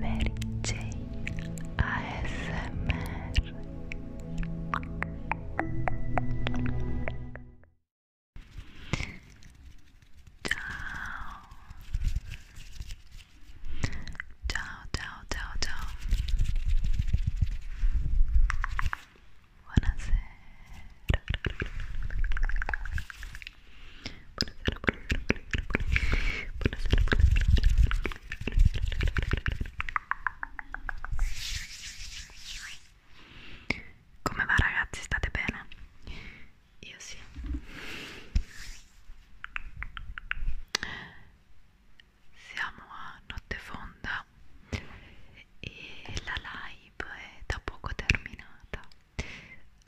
Mary Jane ASMR Ciao Ciao ciao ciao ciao Buonasera, buonasera, buonasera, buonasera, buonasera, buonasera. Come va ragazzi? State bene? Io sì. Siamo a notte fonda e la live è da poco terminata.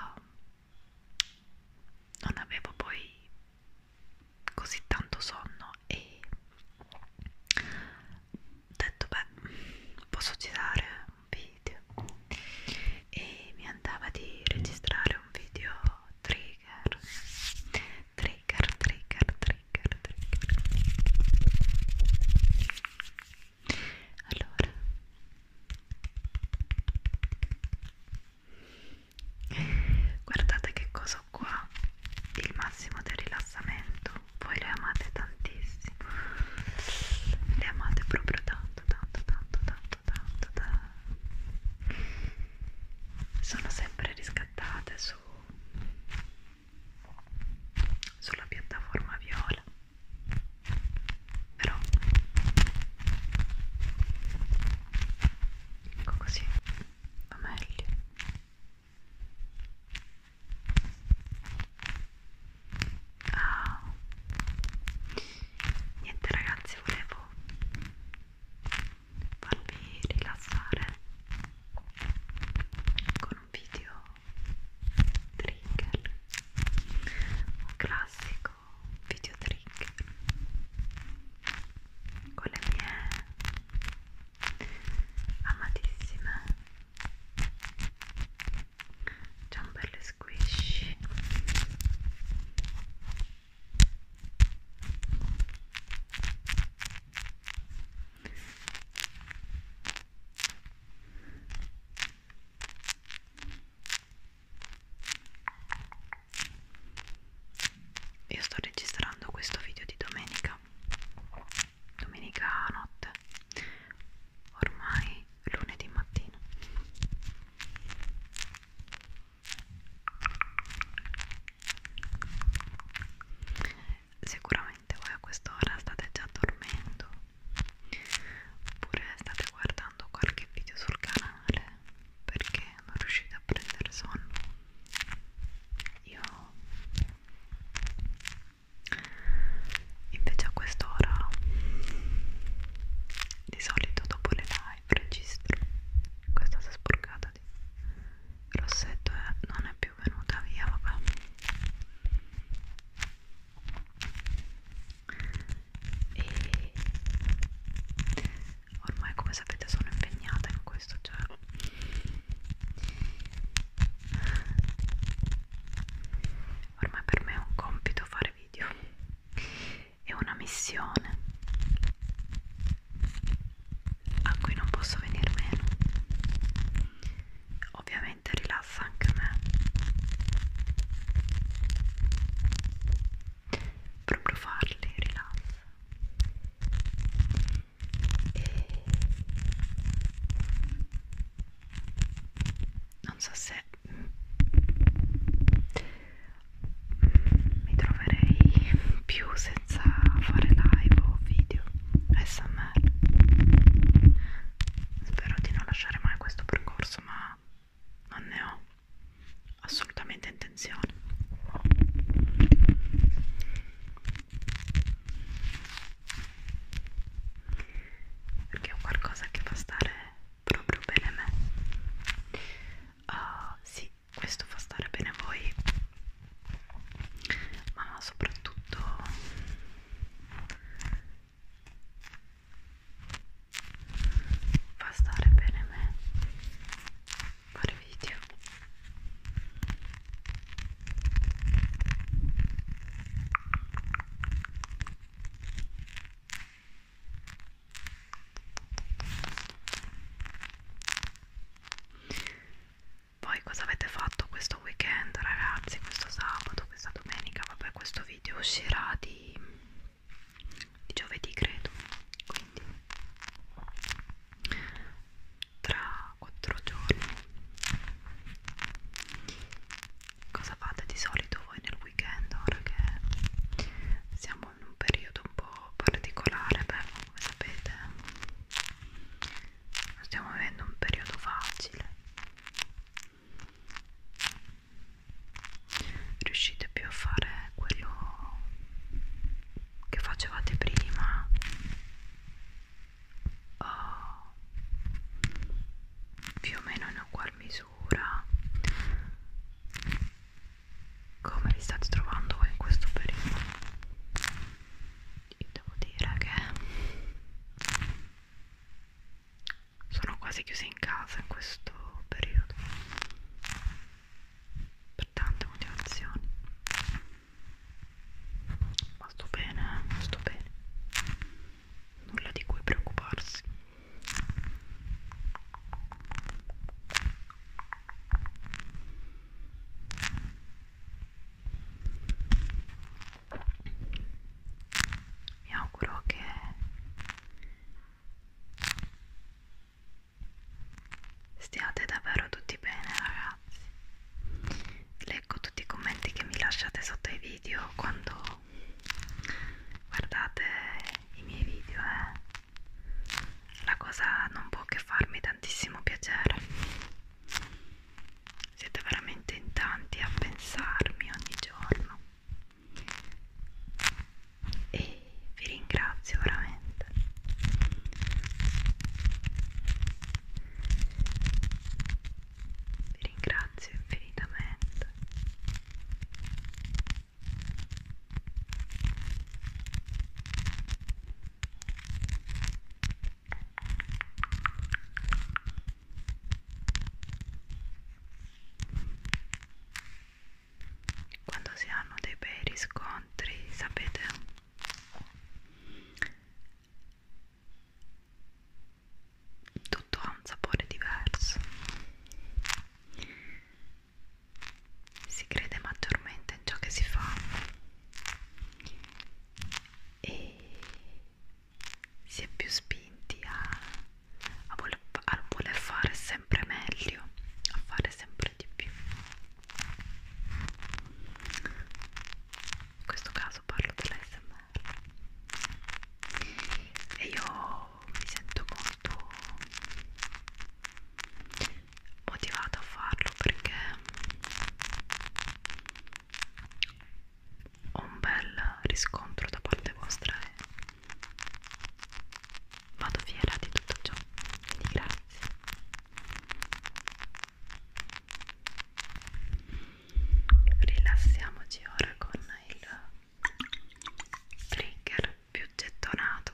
Um, non avevo poi così tanto sonno e ho detto beh posso girare un video e mi andava di registrare un video trigger trigger trigger trigger trigger allora guardate che cosa ho qua il massimo del rilassamento voi le amate tantissimo le amate proprio tanto tanto tanto tanto tanto, tanto. sono sempre riscattate su sulla piattaforma viola però ecco così va meglio ah. niente ragazzi volevo farvi rilassare con un video trigger un classico video trick con le mie amatissime ciambelle squishy io sto registrando questo video di domenica, domenica notte, ormai lunedì mattina. Sicuramente voi a quest'ora state già dormendo oppure state guardando qualche video sul canale perché non riuscite a prendere sonno io invece a quest'ora di solito dopo le live registro questa si è sporcata di rossetto è, non è più venuta via vabbè e ormai come sapete sono impegnata in questo cioè ormai per me è un compito fare video è una missione a cui non posso venir meno ovviamente rilassa anche me proprio farli rilassa e non so se mi troverei più senza fare live o video smr spero di non lasciare mai questo percorso ma non ne ho assolutamente intenzione perché è un qualcosa che fa stare proprio bene me uh, sì questo fa stare bene voi ma soprattutto fa stare bene me fare video poi cosa avete fatto questo weekend ragazzi questo sabato questa domenica vabbè questo video uscirà di di giovedì credo quindi tra 4 giorni cosa fate di solito voi nel weekend ora che siamo in un periodo un po' particolare beh come sapete non stiamo avendo un periodo facile riuscite più a fare quello che facevate prima oh, più o meno in ugual misura come vi state trovando voi in questo periodo io devo dire che sono quasi chiusa in casa in questo periodo per tante motivazioni ma sto bene, eh? sto bene nulla di cui preoccuparsi mi auguro che Stiate davvero tutti bene ragazzi. Leggo tutti i commenti che mi lasciate sotto i video quando guardate i miei video. Eh. La cosa non può che farmi tantissimo piacere. Siete veramente in tanti a pensarmi ogni giorno e vi ringrazio veramente vi ringrazio infinitamente quando si hanno dei bei riscontri sapete tutto ha un sapore diverso si crede maggiormente in ciò che si fa e si è più spinti a, a, voler, a voler fare sempre meglio a fare sempre di più in questo caso parlo dell'ASMR e io mi sento molto motivata a farlo perché ho un bel riscontro da parte vostra e vado fiera di tutto ciò quindi grazie rilassiamoci ora con il trigger più gettonato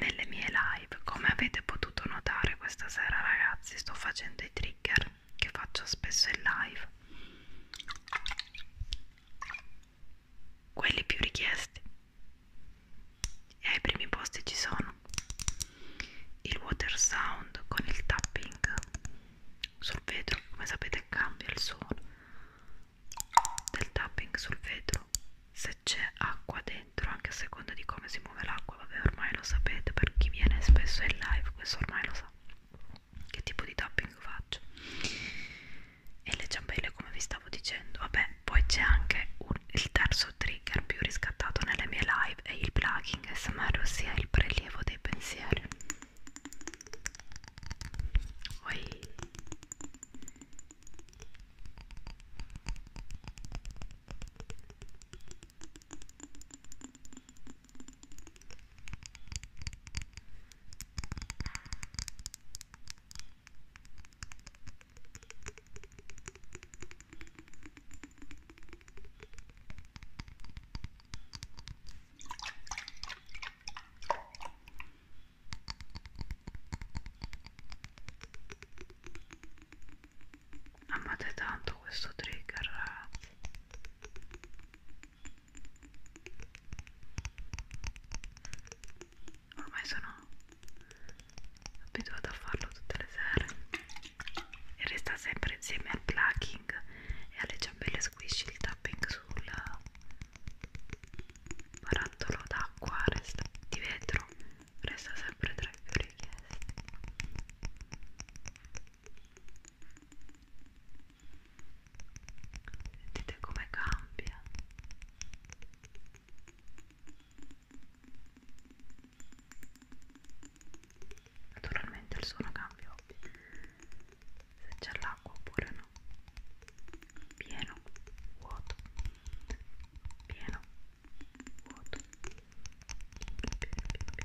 nelle mie live come avete potuto notare questa sera ragazzi sto facendo i trigger che faccio spesso in live quelli più richiesti e ai primi posti ci sono il water sound con il tapping sul vetro come sapete cambia il suono del tapping sul vetro se c'è acqua dentro anche a seconda di come si muove l'acqua vabbè ormai lo sapete per chi viene spesso in live questo ormai lo sa che tipo di tapping faccio e le ciambelle come vi stavo dicendo vabbè poi c'è anche un, il terzo trigger più riscattato nelle mie live è il plugging smr ossia il prelievo dei pensieri Oi. Amate tanto questo trigger ormai sono abituata a farlo tutte le sere e resta sempre insieme al plucking e alle ciambelle squish il tapping sul barattolo d'acqua resta di vetro resta sempre tra i più richiesti sentite come cambia Naturalmente il suono cambia se c'è l'acqua oppure no. Pieno, vuoto, pieno, vuoto. Pieno, pieno, pieno, pieno. Vuoto.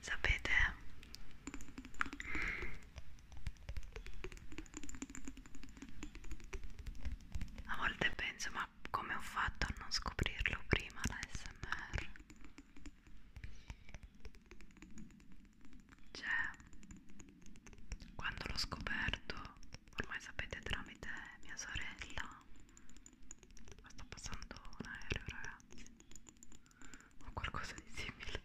Sapete, a volte penso, ma come ho fatto a non scoprirlo prima la SMR? Cioè, quando l'ho scoperto ormai sapete tramite mia sorella ma sta passando un aereo ragazzi o qualcosa di simile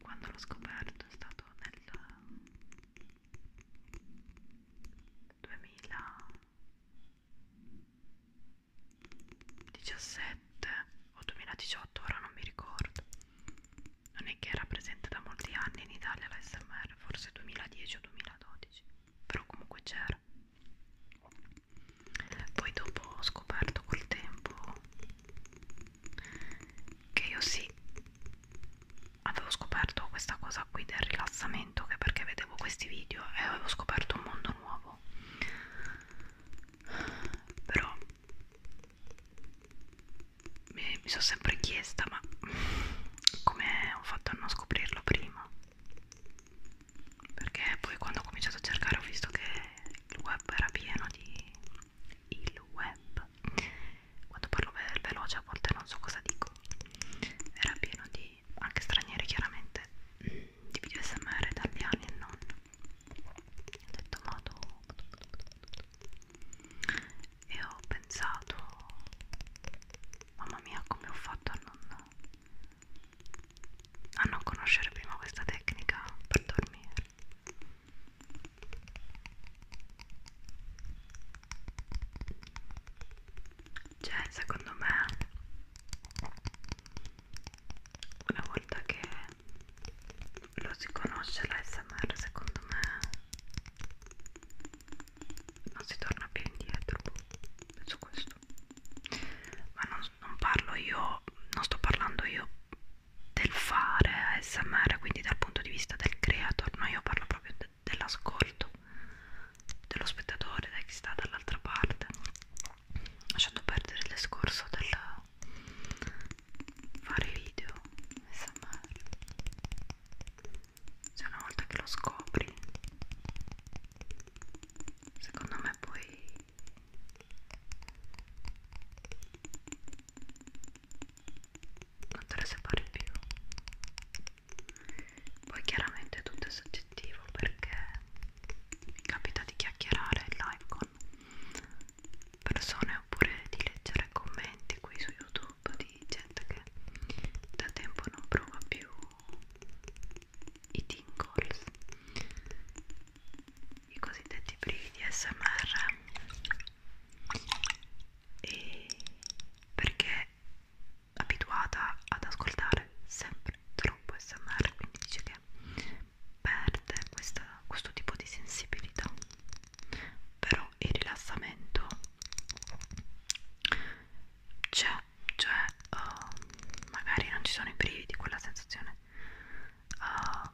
quando l'ho scoperto è stato nel 2017 o 2018 ora non mi ricordo non è che era presente da molti anni in Italia l'ASMR, forse 2010 o 2012, però comunque c'era. Poi dopo ho scoperto col tempo che io sì, avevo scoperto questa cosa qui del rilassamento, che perché vedevo questi video e avevo scoperto un mondo nuovo. Però mi, mi sono sempre chiesta ma come ho fatto a non scoprirlo prima perché poi quando ho cominciato a cercare ho visto che il web era pieno di il web quando parlo ve veloce a volte non so cosa dico era pieno di anche stranieri chiaramente di video smr italiani e non ho detto vado e ho pensato mamma mia come ho fatto a non, a non conoscere prima questa tecnica per dormire cioè secondo me una volta che lo si conosce l'ASMR secondo me non si torna più indietro penso questo ma non, non parlo io non sto parlando io del fare ASMR quindi dal punto di vista del creator no io parlo proprio de dell'ascolto dello spettatore da chi sta dall'altra parte lasciando perdere il discorso del fare video ASMR cioè una volta che lo scopri secondo me poi non te ne separi più poi chiaramente tutto è soggettivo perché mi capita di chiacchierare in live con persone oppure di leggere commenti qui su youtube di gente che da tempo non prova più i tingles i cosiddetti brividi smr e perché abituata ad ascoltare sempre troppo smr quindi dice che perde questa, questo tipo di sensibilità però il rilassamento c'è, cioè uh, magari non ci sono i brividi, quella sensazione uh, ehm,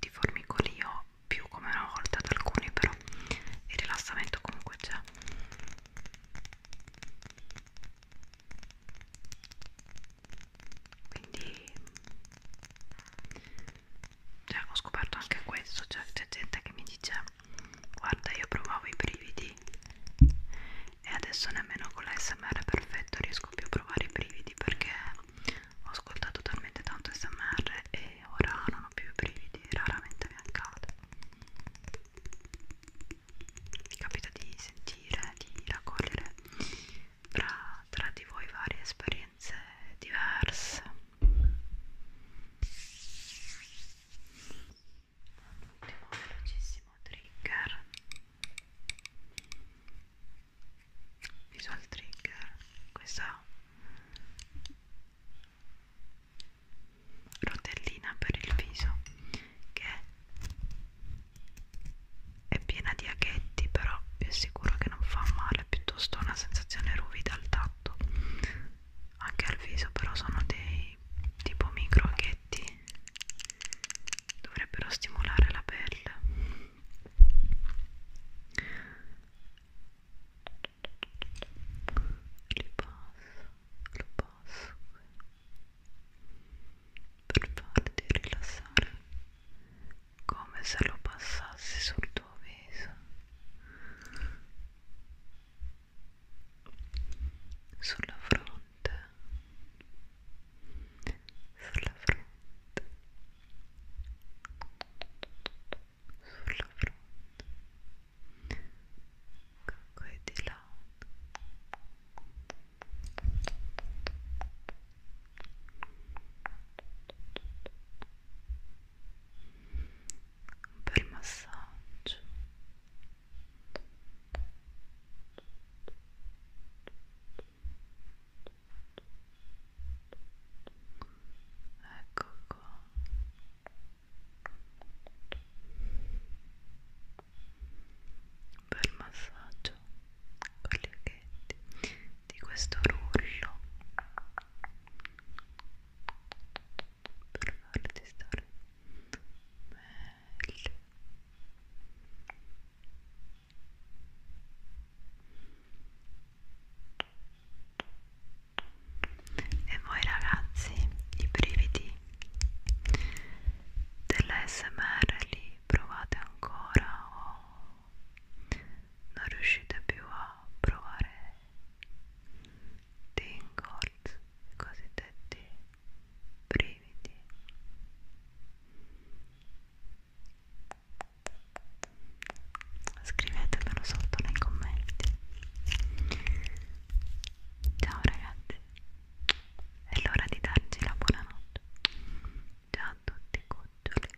di formicolio più come una volta ad alcuni, però il rilassamento comunque c'è. Quindi cioè, ho scoperto anche questo cioè c'è gente che mi dice guarda io provavo i brividi e adesso nemmeno con l'ASMR perfetto riesco più a provare i brividi perché ho ascoltato talmente tanto SMR e ora non ho più i brividi, raramente mi accade. Mi capita di sentire, di raccogliere tra, tra di voi varie esperienze diverse un ultimo velocissimo trigger visual trigger questa rotellina per il viso che è piena di aghetti però vi assicuro che non fa male piuttosto una sensazione ruvida al tatto anche al viso però sono dei tipo micro aghetti dovrebbero stimolare la pelle li passo, lo passo per farti rilassare come se lo passassi sul tuo viso sulla fronte sulla fronte sulla fronte qui di là un bel massaggio ecco qua un bel massaggio con gli occhetti di questo rullo per farti stare meglio e voi ragazzi i brividi dell'ASMR li provate ancora o non riuscite più a provare tingles, i cosiddetti brividi. Scrivetemelo sotto nei commenti. Ciao ragazzi, è l'ora di darci la buonanotte. Ciao a tutti, cuccioli.